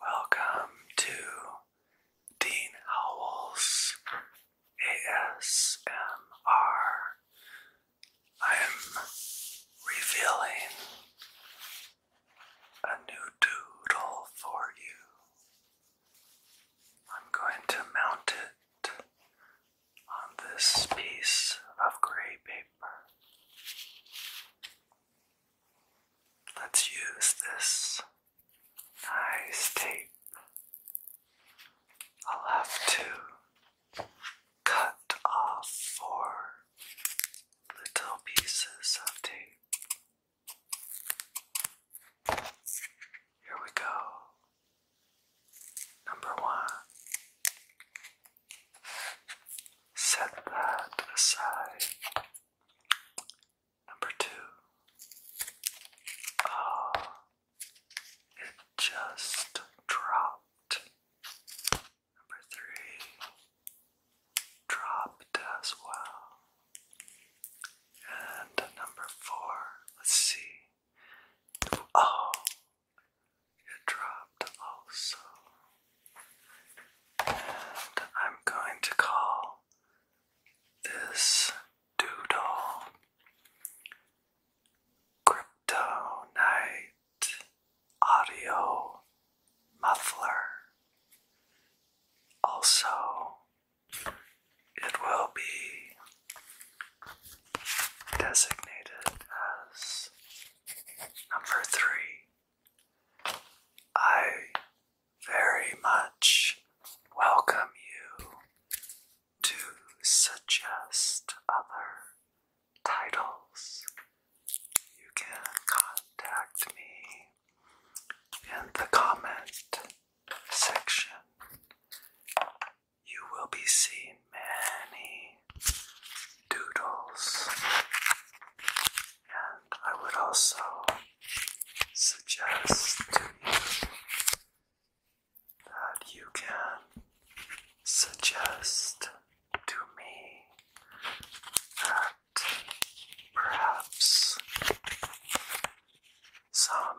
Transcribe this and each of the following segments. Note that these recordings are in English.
Welcome to Dean Howell's ASMR. I am revealing a new doodle for you. I'm going to mount it on this piece of gray paper. Let's use this nice tape. I'll have to cut off four little pieces of tape. Here we go. Number one, Set that aside. Number two. oh, it just dropped. Number three. Dropped as well. And number four. Let's see. Oh, you dropped also. And I'm going to call this doodle Crypto Night Audio Muffler. Also, it will be designated as Number three, I very much welcome you to suggest other titles. You can contact me in the comment section you will be seeing many doodles. And I would also suggest to you that you can suggest to me that perhaps some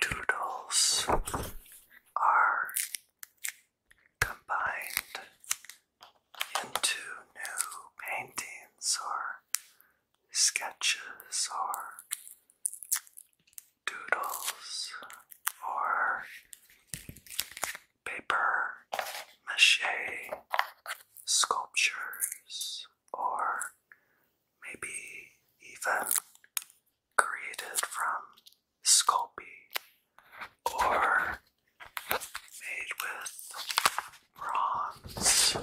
doodles are combined into new paintings or sketches or doodles or paper mache sculptures or maybe even created from Sculpey or made with bronze.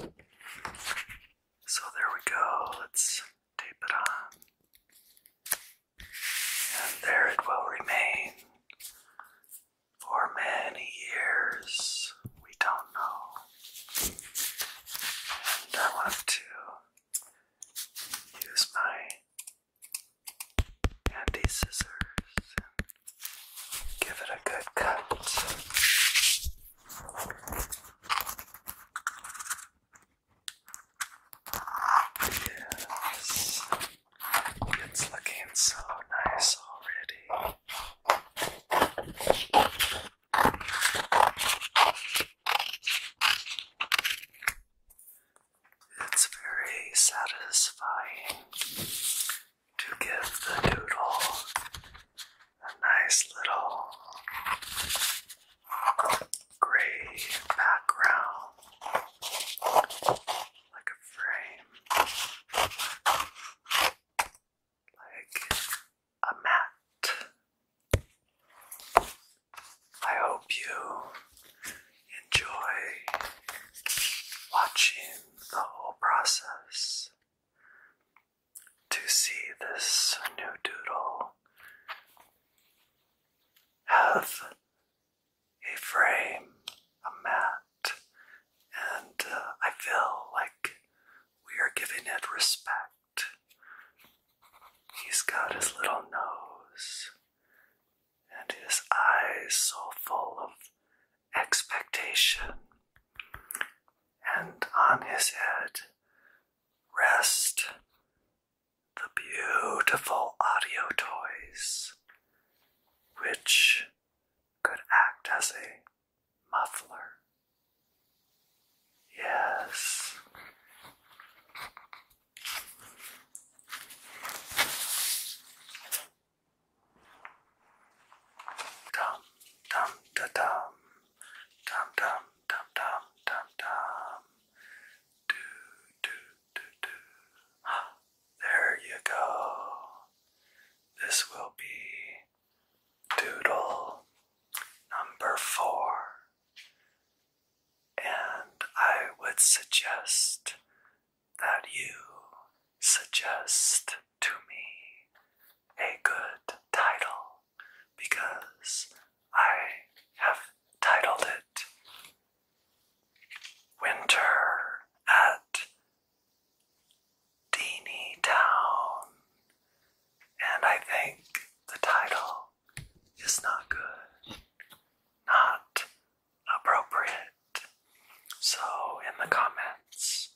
So there we go. Let's tape it on. And there it will remain for many years. We don't know. And I want to use my handy scissors give it a good cut. Yes. It's looking so nice already. It's very satisfying to give the doodle a nice little gray background, like a frame, like a mat. I hope you enjoy watching the whole process. To see this new doodle have a frame, a mat, and uh, I feel like we are giving it respect. He's got his little nose and his eyes so full of expectation, and on his head rest the beautiful audio toys, which could act as a muffler. Yes. Dum dum da dum dum dum dum dum dum dum do do do do ah, there you go. This will be doodle number four. And I would suggest that you suggest to me a good title because I have titled it Winter at Deanie Town. And I think the title is not good, not appropriate. So, in the comments,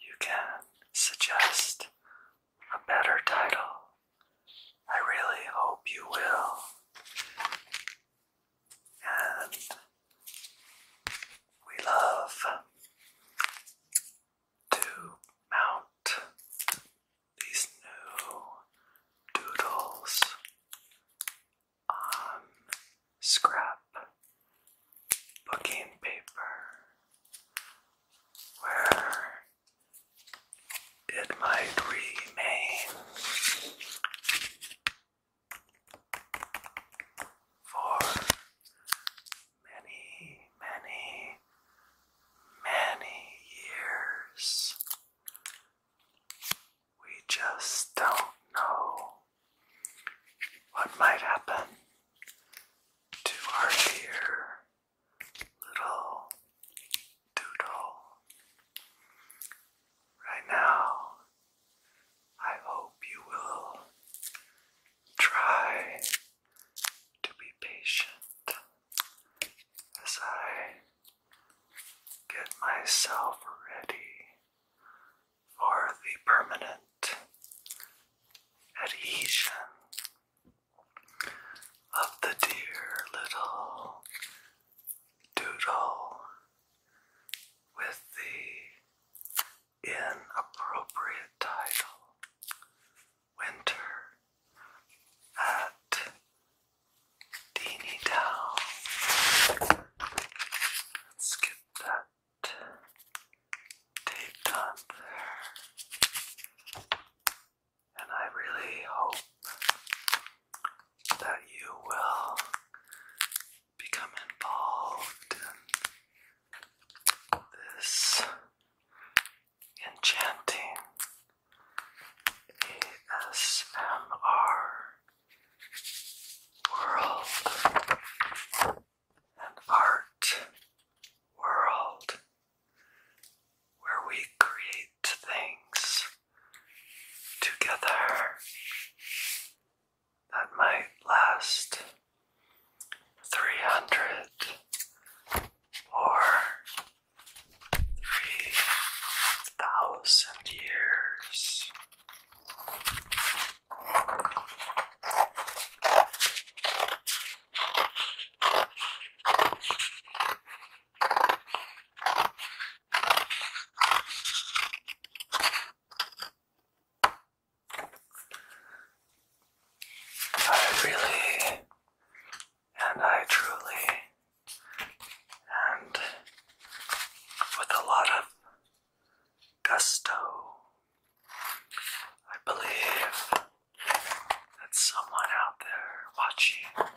you can suggest a better title. I really hope you will. And we love to mount these new doodles on scrap paper where it might remain for many, many, many years. We just don't know what might happen to our dear little doodle. Right now, I hope you will try to be patient as I get myself ready for the permanent adhesion of the dear little doodle with the inappropriate title Winter at Deany Town. Let's get that taped on And I really hope that you will become involved in this enchanting ASMR world and art world where we create things together that might last 300 or 3,000 years. I really and I truly and with a lot of gusto, I believe that someone out there watching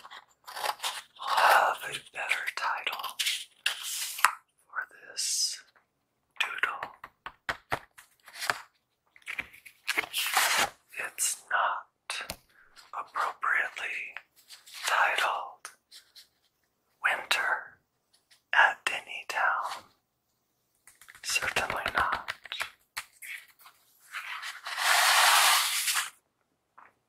have a better title for this doodle. It's not appropriately titled Winter at Denny Certainly not.